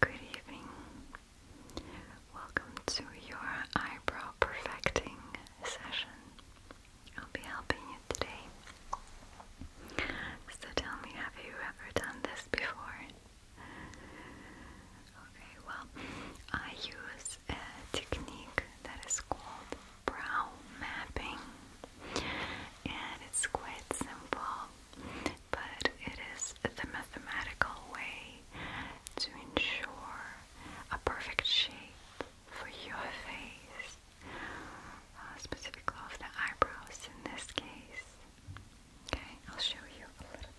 good evening. Welcome to your eyebrow perfecting session. I'll be helping you today. So tell me, have you ever done this before? Okay, well, I use a technique that is called brow mapping and it's quite simple, but it is the mathematical way to ensure a perfect shape for your face, uh, specifically of the eyebrows in this case. Okay, I'll show you a little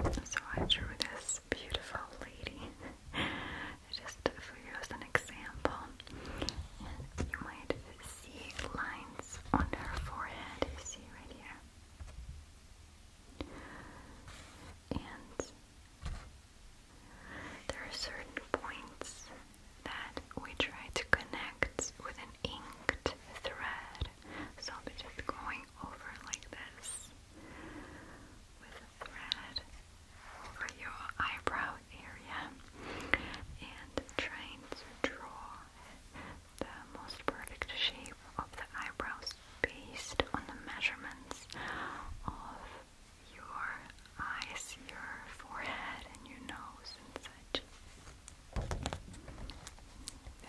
bit. So I drew this beautiful lady. just for you as an example. you might see lines on her forehead, see right here. And there are certain points that we try to connect with an inked thread. So I'll be just going over like this over your eyebrow area and trying to draw the most perfect shape of the eyebrows based on the measurements of your eyes, your forehead, and your nose, and such.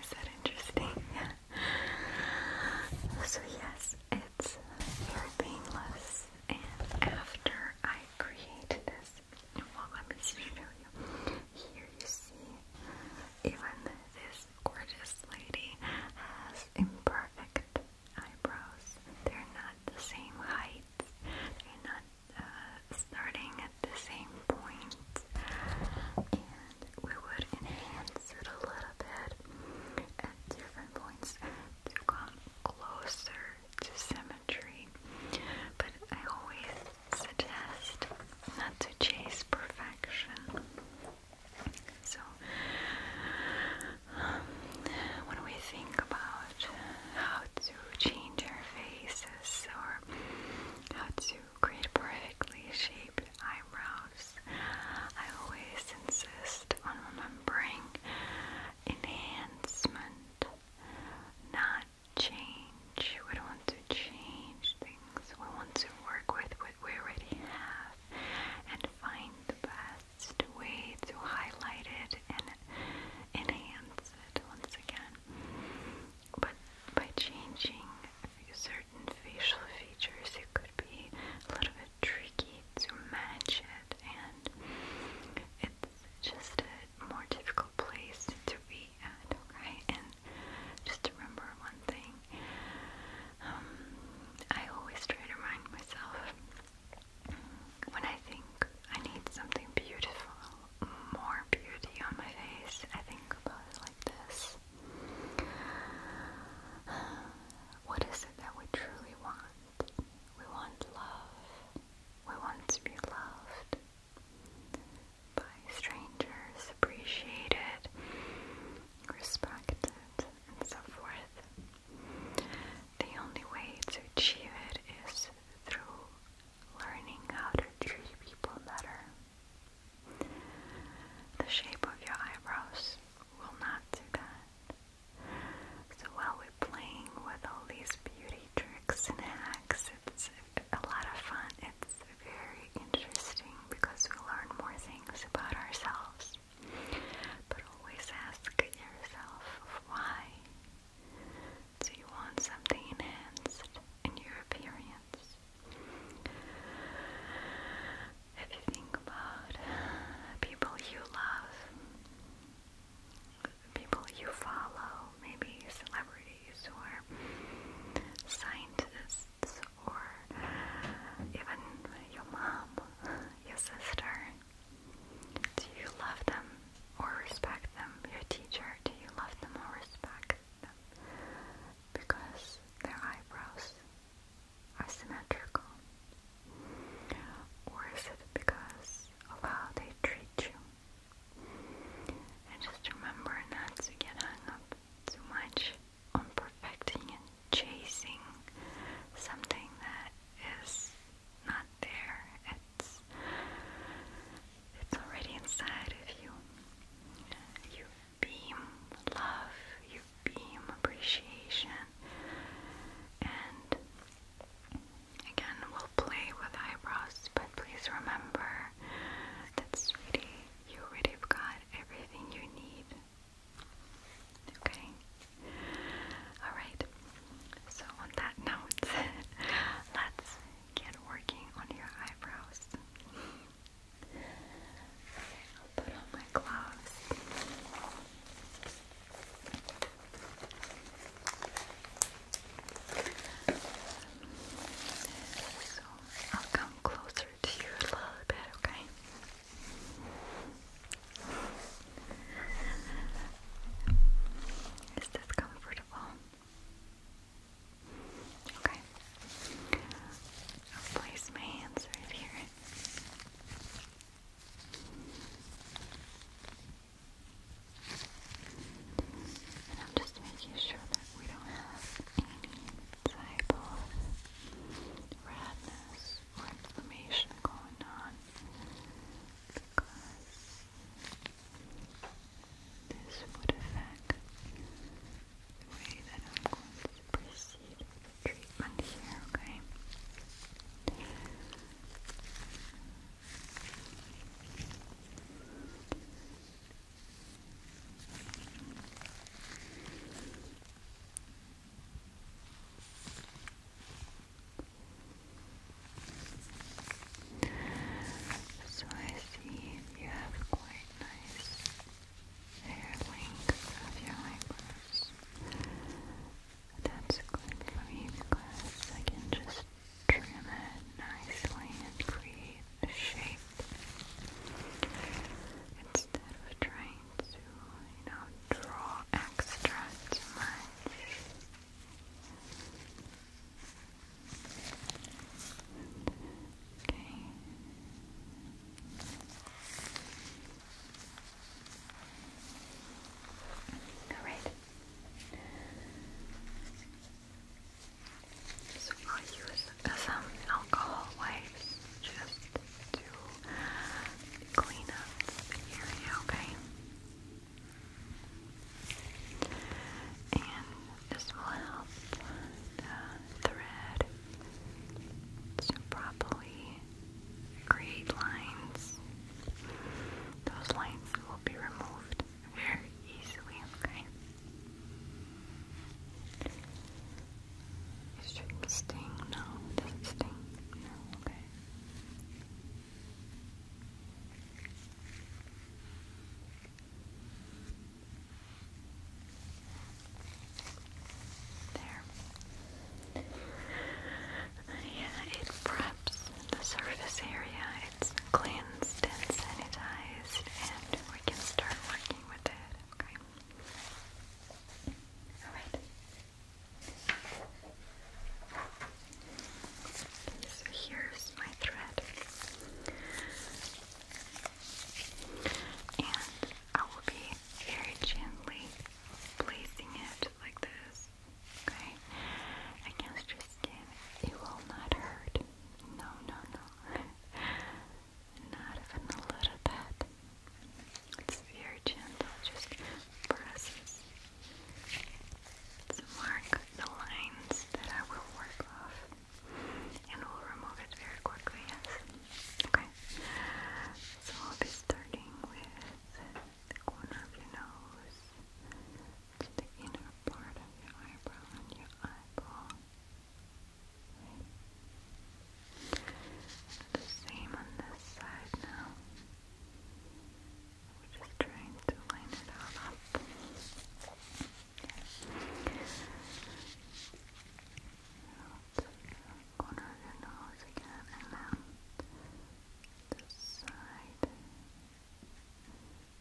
Is that interesting? so, yes, it's very painless and after I create this, let me show you. Here you see even this gorgeous lady has imperfect eyebrows. They're not the same height. They're not uh, starting at the same point. And we would enhance it a little bit at different points to come closer to symmetry, but I always suggest not to chase perfection. So, um, when we think about how to change our faces or how to create perfectly shaped eyebrows, I always insist on remembering enhancement, not change. We don't want to change things. We want to work with what we already have and find the best way to highlight it and enhance it once again. But by changing certain facial features, it could be a little bit tricky to match it, and it's just a more difficult place to be at, okay? And just remember one thing um, I always try to remind myself when I think I need something beautiful, more beauty on my face, I think about it like this. What is it that we truly want? We want love. We want to be loved by strangers, appreciated, respected, and so forth. The only way to achieve it is through learning how to treat people better. The shape of your eyebrows will not do that. So while we're playing with all these beauty tricks and hacks, it's a lot of fun. It's very interesting because we learn more things about ourselves. But always ask yourself why. So you want something enhanced in your appearance. If you think about people you love, people you follow, maybe celebrities or scientists or even your mom, your sister. Do you love them or respect them? Your teacher, do you love them or respect them? Because their eyebrows are symmetrical or is it because of how they treat you? And just remember not to get hung up too much on perfecting and chasing something that is not there. It's it's already inside of you. You beam love, you beam appreciation, and Again, we'll play with eyebrows, but please remember that you already got everything you need. Okay? Alright, so on that note, let's get working on your eyebrows. Okay, I'll put on my gloves. So I'll come closer to you a little bit, okay? Is this comfortable? Okay. I'll place my hands right here. And I'm just making sure that we don't have any redness or inflammation going on because this would affect the way that I'm going to proceed with treatment here, okay? So I see you have quite nice hair length of your eyebrows. That's good for me because I can just trim it nicely and create a shape instead of trying to, you know, draw extra too Okay. Alright. So I'll use some alcohol wipes just to clean up the area, okay? And this will help the thread to properly create lines. Those lines will be removed very easily, okay? It sting, no, it doesn't sting, okay. There. Yeah, it preps the surface area. It's cleansed and sanitized, and we can start working with it. Okay. All right. so here's my thread, and I will be very gently placing it like this Okay? Against your skin. It will not hurt. No, no, no. not even a little bit. It's very gentle. Just presses to mark the lines that I will work off. And we'll remove it very quickly, yes. Okay. So I'll be starting with the corner of your nose to the inner part of your eyebrow and your eyeball. The same on this side now. We're just trying to line it up. corner of your nose again and then the side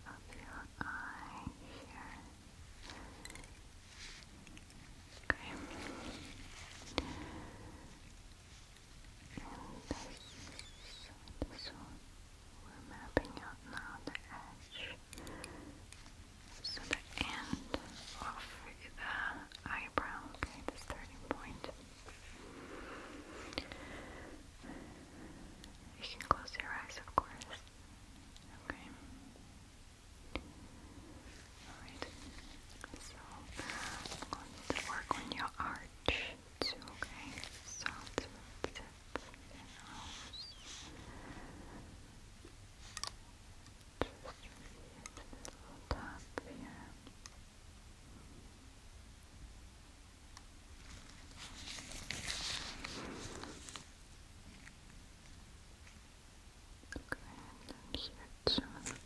of your eye here. Okay. And this, this one, we're mapping out now the edge. So the end of the eyebrow, okay, the starting point. You can close your eyes, of course. Okay. Alright. So, I'm going to work on your arch okay? So, to the tip Just the top here. Okay, and insert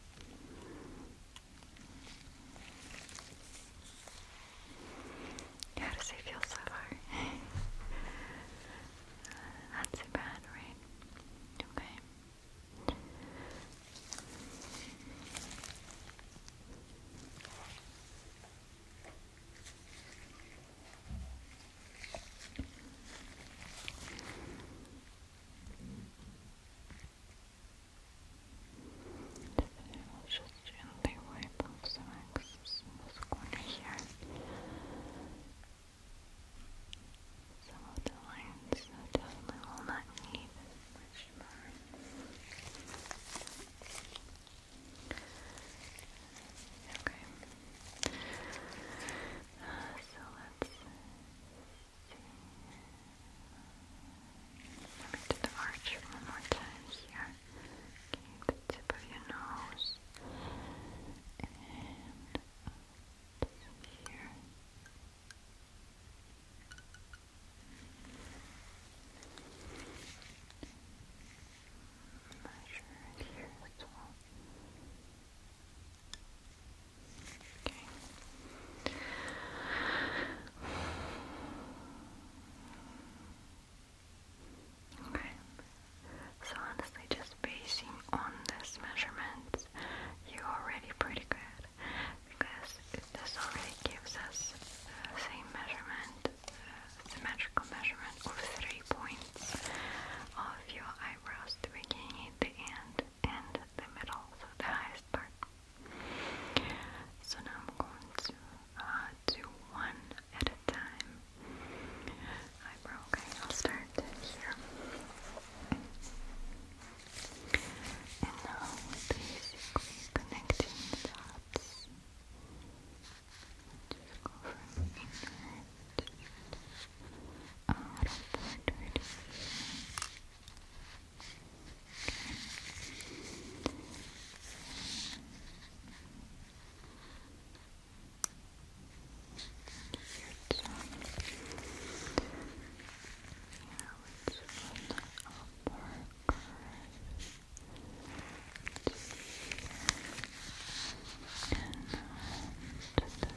How does it feel so far? Not too bad, right? Okay. Today we just gently wipe off some excess in this corner here. Some the lines definitely will not need Okay. Uh, so let's see. Let the arch one more time here. Keep the tip of your nose and here. Measure Okay. Okay. So honestly, just basing on this measurement, you're already pretty good because this already gives us uh, same measurement, uh, symmetrical measurement of three points of your eyebrows, the beginning, the end, and the middle, so the highest part. So now I'm going to uh, do one at a time. Eyebrow, okay, I'll start here. And now basically connecting dots. Just go from inner to out of the dirty. Here it's on. Yeah, it's on the markers and to the edge right there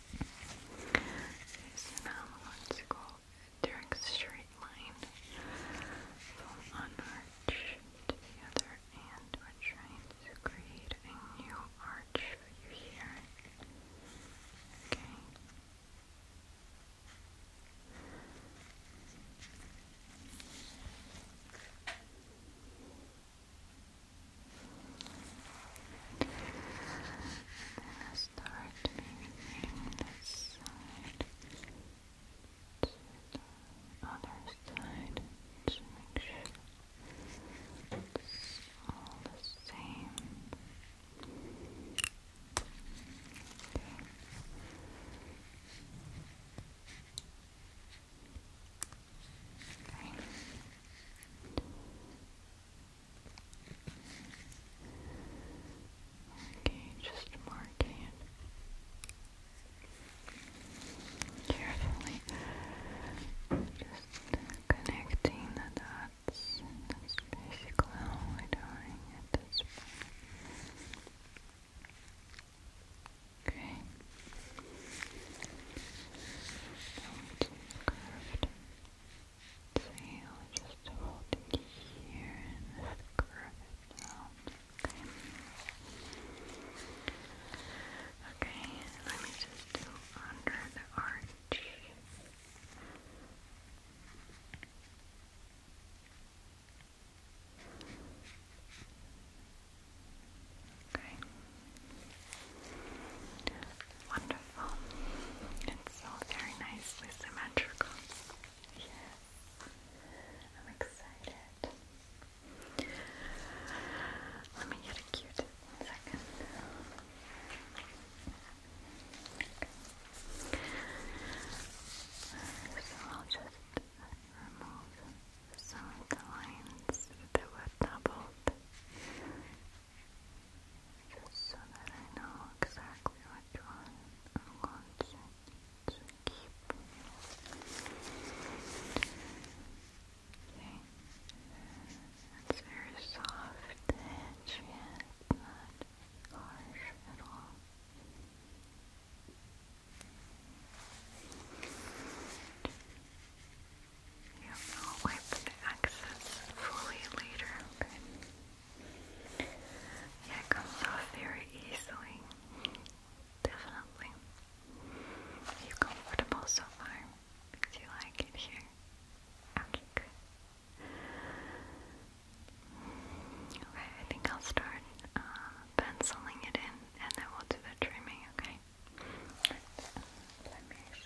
is analogical direct straight line from one arch to the other and we're trying to create a new arch for you here. Okay. I'm start moving this side the other side to make sure it's all the same. Okay. Okay, just marking carefully. Just connecting the dots. That's basically all we're doing at this point. Okay. Don't curved. So I'll just hold it here and just curve it down. Okay. Okay, let me just do under the arch. Okay. Wonderful. It's all very nicely symmetrical. I'm excited. Let me get a cute one second. So I'll just remove some of the lines that were doubled just so that I know exactly which one I'm going to, to keep. Okay. It's very soft edge, yeah, it's not harsh at all. Okay. You will wipe the excess fully later, okay? Yeah, comes off very easily. Definitely. you comfortable so far? Do you like it here? Okay, Okay, I think I'll start uh, penciling it in and then we'll do the trimming, okay? Let me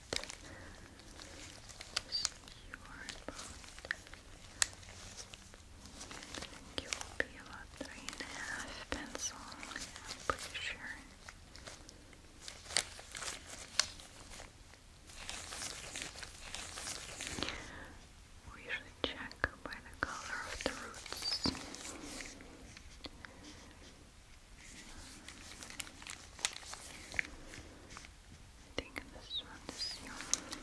secure both. I think it will be about three and a half pencil, I'm pretty sure. We should check by the color of the roots. I think this one is yours.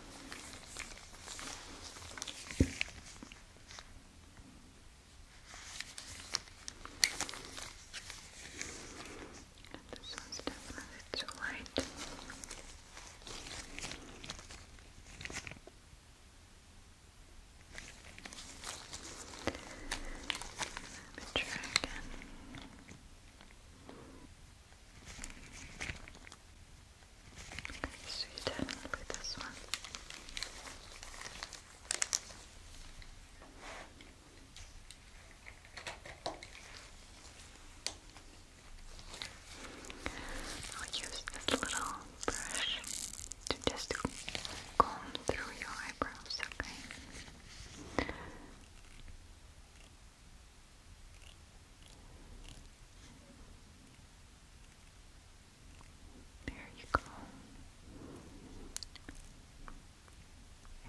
This one's definitely too light. Let me try again. Okay, so you definitely this one. I'll use this little brush to just comb through your eyebrows, okay? There you go.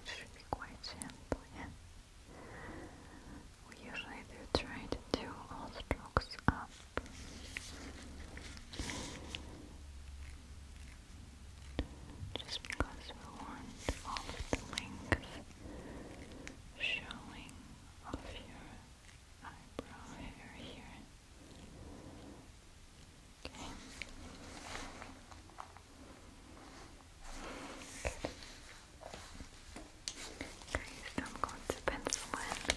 It should be quite simple, We usually try to do all strokes up. Just because we want all the length showing of your eyebrow hair here. Okay. Guys, I'm going to pencil in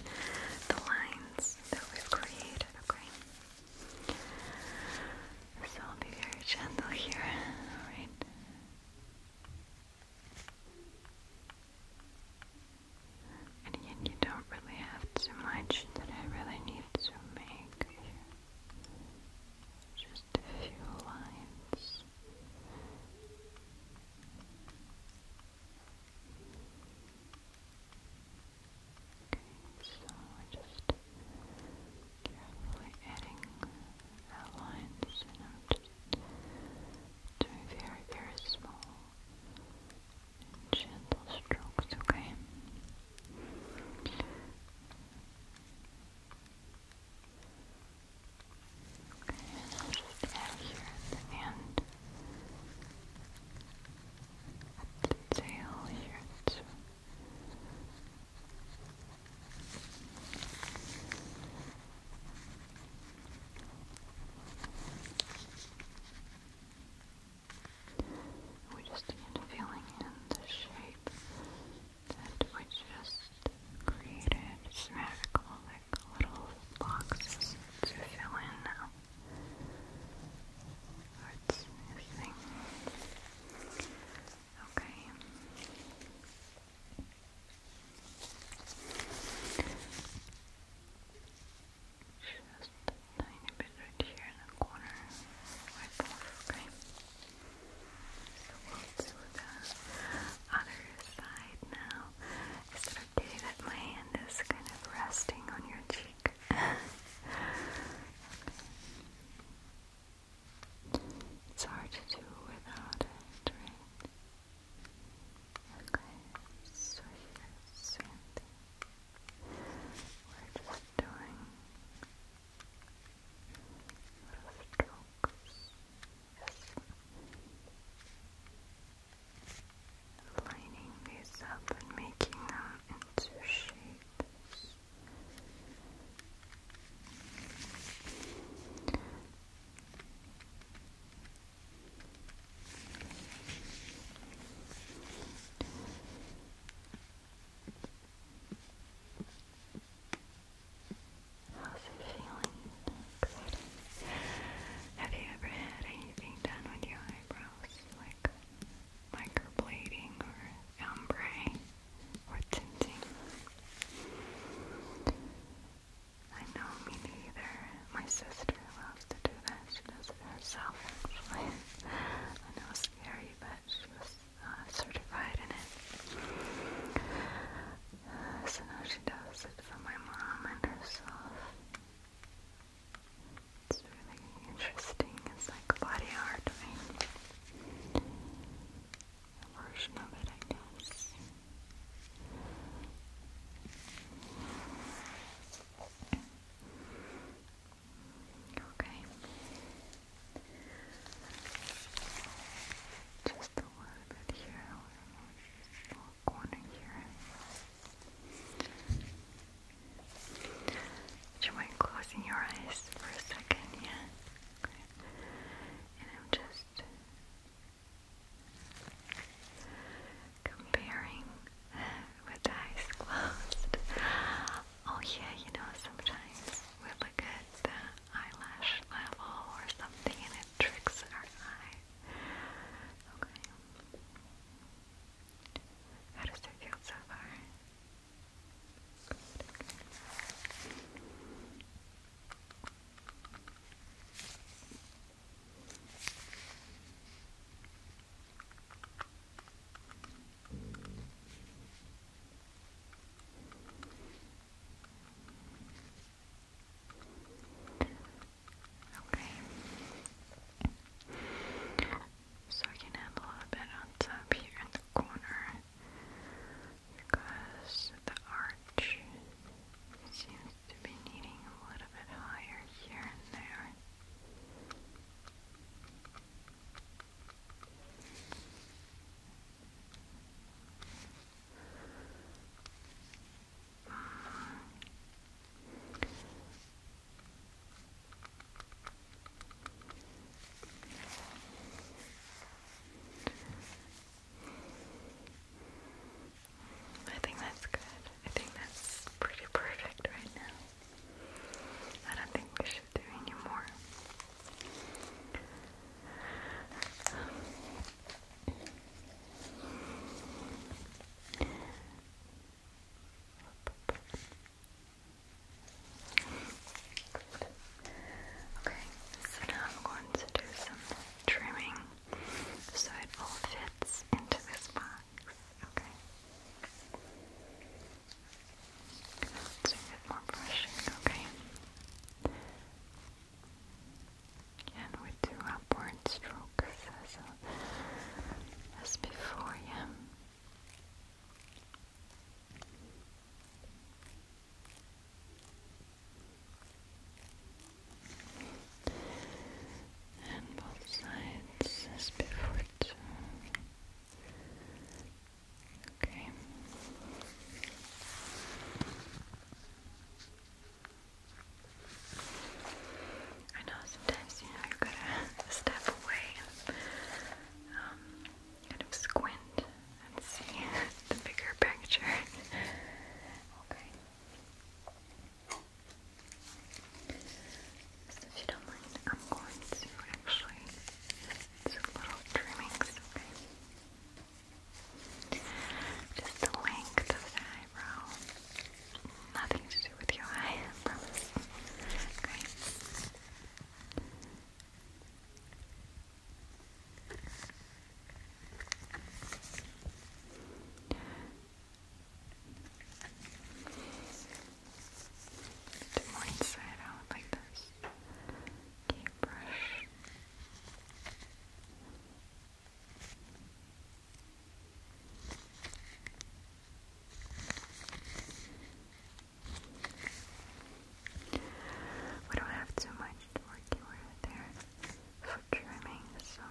the lines that we've created, okay? So I'll be very gentle here, alright? And you don't really have too much that I really need to make Just a few lines. Okay, so I just carefully adding outlines and I'm just doing very, very small gentle strokes, okay? and I'll just add here at the end, at the here too. We just need feeling in the shape that we just created. Spherical, like little boxes to fill in now. What's Okay. Just tiny bit right here in the corner. okay? So we do the other side now. Is it okay that my hand is kind of resting on your cheek? It's hard to do without it, right? Okay, so We're just doing little strokes. Yes. Lining these up and making them into shapes. How's it feeling? Have you ever had anything done with your eyebrows? Like microblading or ombre? or tinting. I know me neither. My sister loves to do that. She does it herself, actually. I know it's scary, but she uh, certified in it. Uh, so now she does it for my mom and herself. It's really interesting. It's like body art. Right? version of it, I guess. Okay. Just a little bit here, corner here. Do you mind closing your eyes for a second? Yeah. I'm just comparing with eyes closed. Oh yeah, you know, sometimes we look at the eyelash level or something and it tricks our eye. Okay. How does it feel so far? Okay. So I can add a little bit on top here in the corner because the arch seems to be needing a little bit higher here and there. I think that's good. I think that's pretty perfect right now. I don't think we should do any more. Good. Okay, so now I'm going to do some trimming so it all fits into this box. Okay. Let's more brushing, okay? And we do upward strokes uh, as before, yeah? and both sides as before Okay. I know sometimes you know you gotta step away um, kind of squint and see the bigger picture. okay. if you don't mind, I'm going to actually do little trimmings, okay? Just the length of the eyebrow. Nothing to do with your eye, Okay more inside out like this. Okay, brush. We don't have too much to there for trimming, so.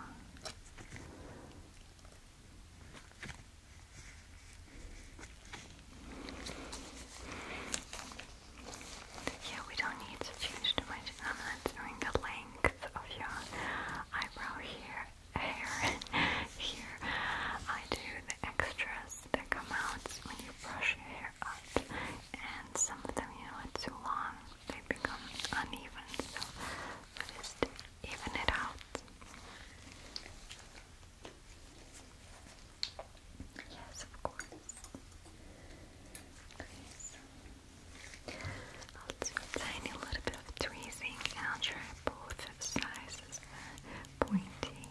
Yeah, we don't need to change too much. I'm not doing the length of your eyebrow here, hair here. I do the extras that come out when you brush your hair up and some of them, you know, it's too long, they become uneven, so just even it out. Yes, of course. I'll do a tiny little bit of tweezing I'll try both sizes, the uh, pointy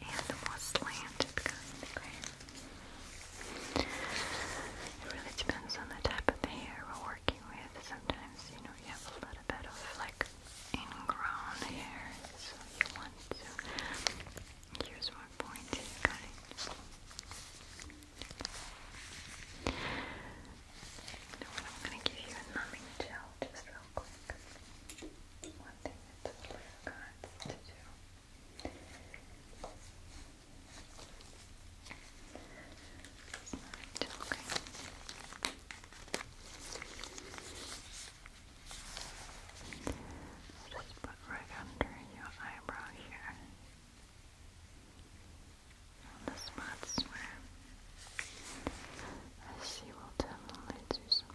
and the more slanted kind, okay? It really depends on the type of hair we're working with. Sometimes, you know, you have a little bit of like ingrown hair, so you want to use more pointed cutting. You know what, I'm going to give you a numbing gel just real quick. One thing that's really good to do it's not just put right under your eyebrow here. On the spots where I see will definitely do some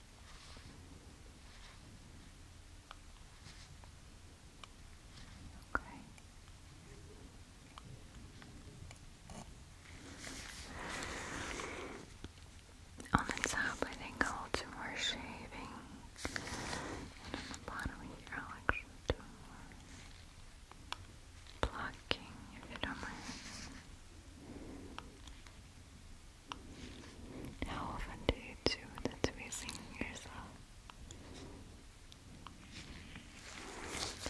Okay. On the top, I think I'll do more shaving, and on the bottom here, I'll actually do blocking, if you don't mind. How often do you do that to yourself?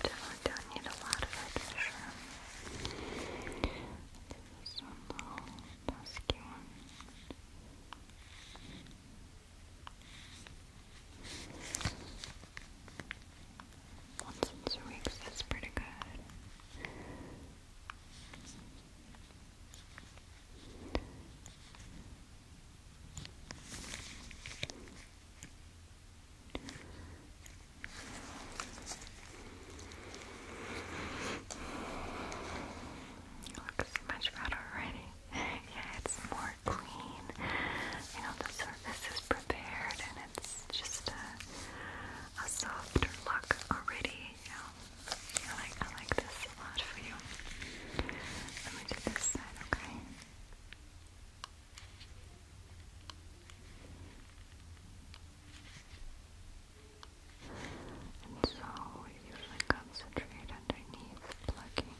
You don't need a lot of it This is a little one. Once in two that's pretty good. Looks much better already. yeah, it's more clean. You know, the surface is prepared and it's just a, softer look already yeah. I like I like this a lot for you. Let me do this side, okay? And so usually concentrate underneath plugging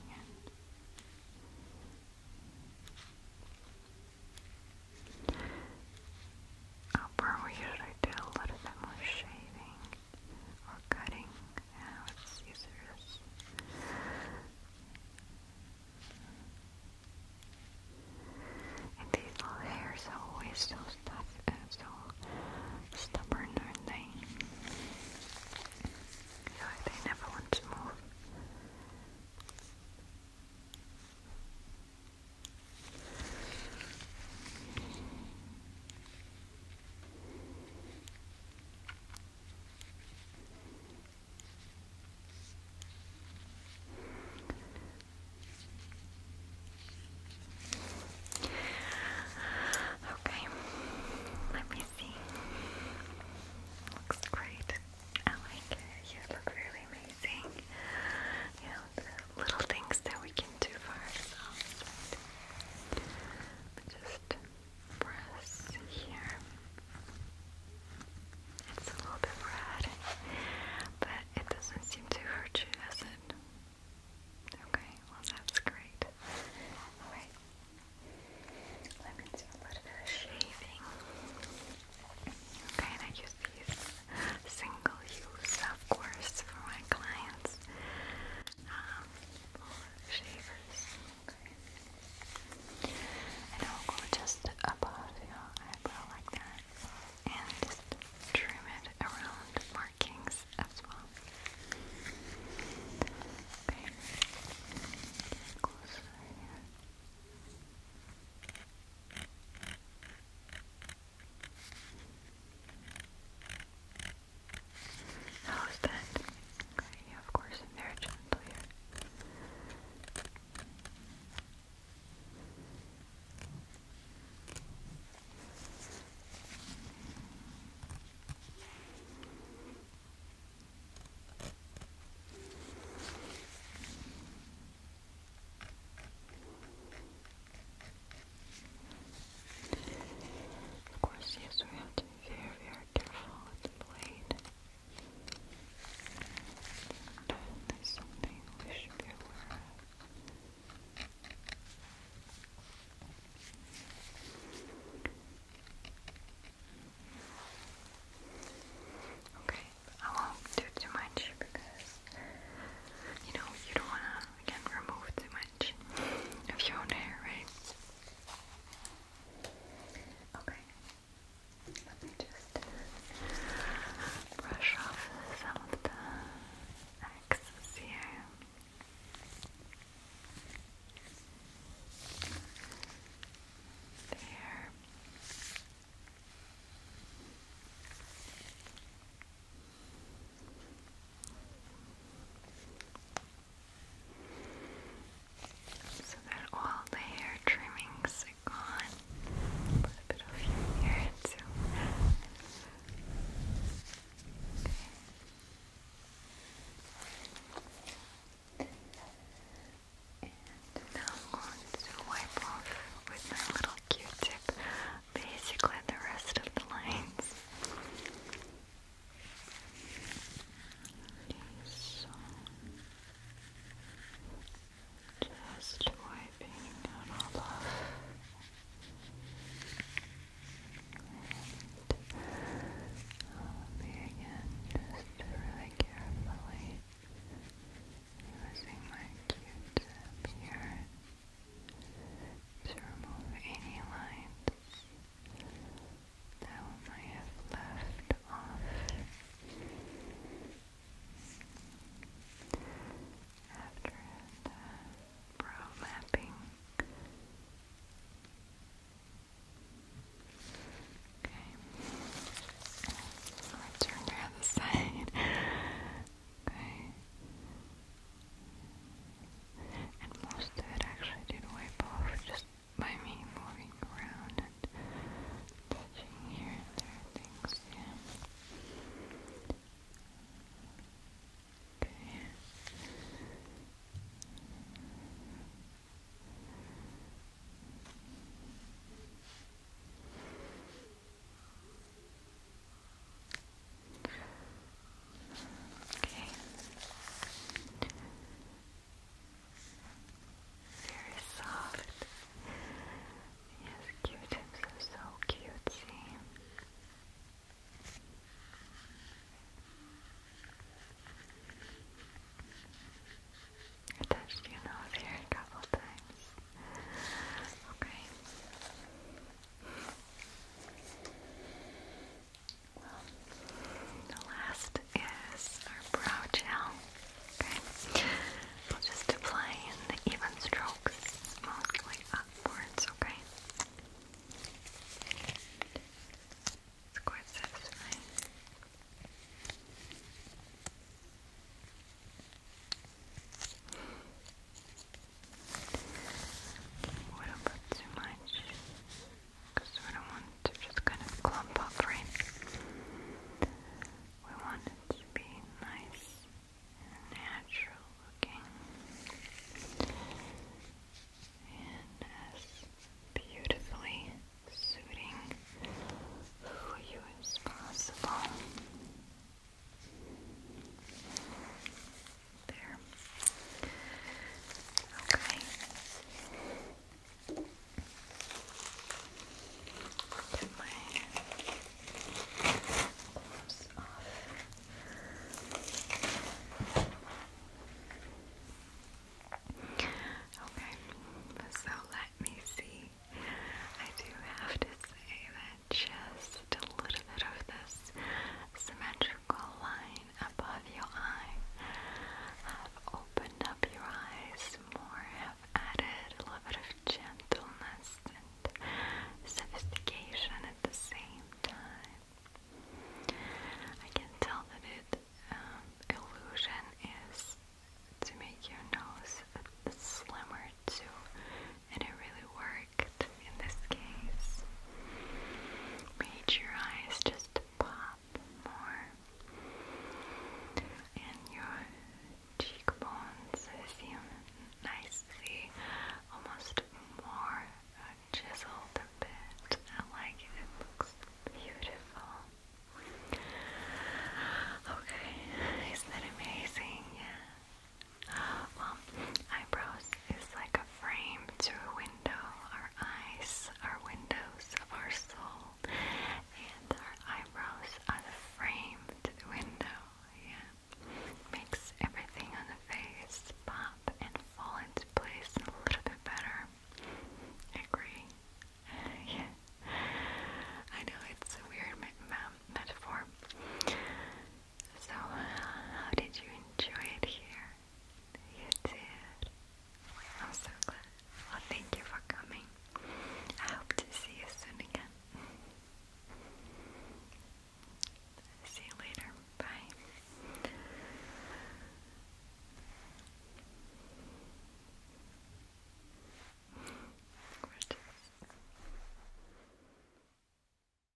upper oh, we usually do a little bit more shaving or cutting yeah, with scissors. And these little hairs are always so stuff uh, so stubborn, aren't they? So they never want to move. Okay, let me see. Looks great. I like it. You look really amazing. You little things that we can do for ourselves. Just press here. It's a little bit red, but it doesn't seem to hurt you, does it? Okay, well that's great. Alright. Let me do a little bit of shaving. Okay, and I use these single use, of course, for my clients. Um, shavers. I'll go just above your eyebrow like that and just trim it around markings as well. Okay. Get closer here. How is that? of course, very gentle of course, yes, we have to be very, very careful with the blade. And something we should be aware of. Okay, I won't do too much because you know you don't wanna I can't remove too much of your own hair, right? Okay. Let me just brush off some of the excess here. There. Okay. So that all the hair trimmings are gone. a bit of your hair too. And now I'm going to wipe off with my little Q-tip basically the rest of the lines. just wiping out all of and um, again, just really carefully using my Q-tip here to remove any lines that we might have left off after brow mapping. Okay, let's turn the other side. Okay. And most of it actually did wipe off just by me moving around and touching here and there things, yeah. Okay. Okay. Okay. Very soft. Yes, q are so cutesy. I touched your nose here a couple times. Okay. Well, the last is our brow gel. Okay, we'll just apply in even strokes, mostly upwards. Okay, it's quite satisfying. We don't too much because we don't want to just kind of clump up, right? We want it to be nice and natural looking and as beautifully suiting who you as possible. There. Okay. Get my gloves off. Okay, so let me see. I do have to say that just a little bit of this symmetrical line above your eye. Have opened up your eyes more, have added a little bit of gentleness and sophistication at the same time. I can tell that it um, illusion is to make your nose slimmer too and it really worked in this case. Made your eyes just pop more, and your cheekbones seem nicely, almost more chiseled a bit. I like it, it looks beautiful. Okay, isn't that amazing? Yeah. Well, eyebrows is like a frame to a window. Our eyes are windows of our soul, and our eyebrows are the frame to the window. Yeah, makes everything on the face pop and fall into place a little bit better. Agree? yeah. I know it's a weird metaphor. So, uh, how did you enjoy it here? You did. I'm so glad. Well, thank you for coming. I hope to see you soon again. See you later. Bye. Gorgeous.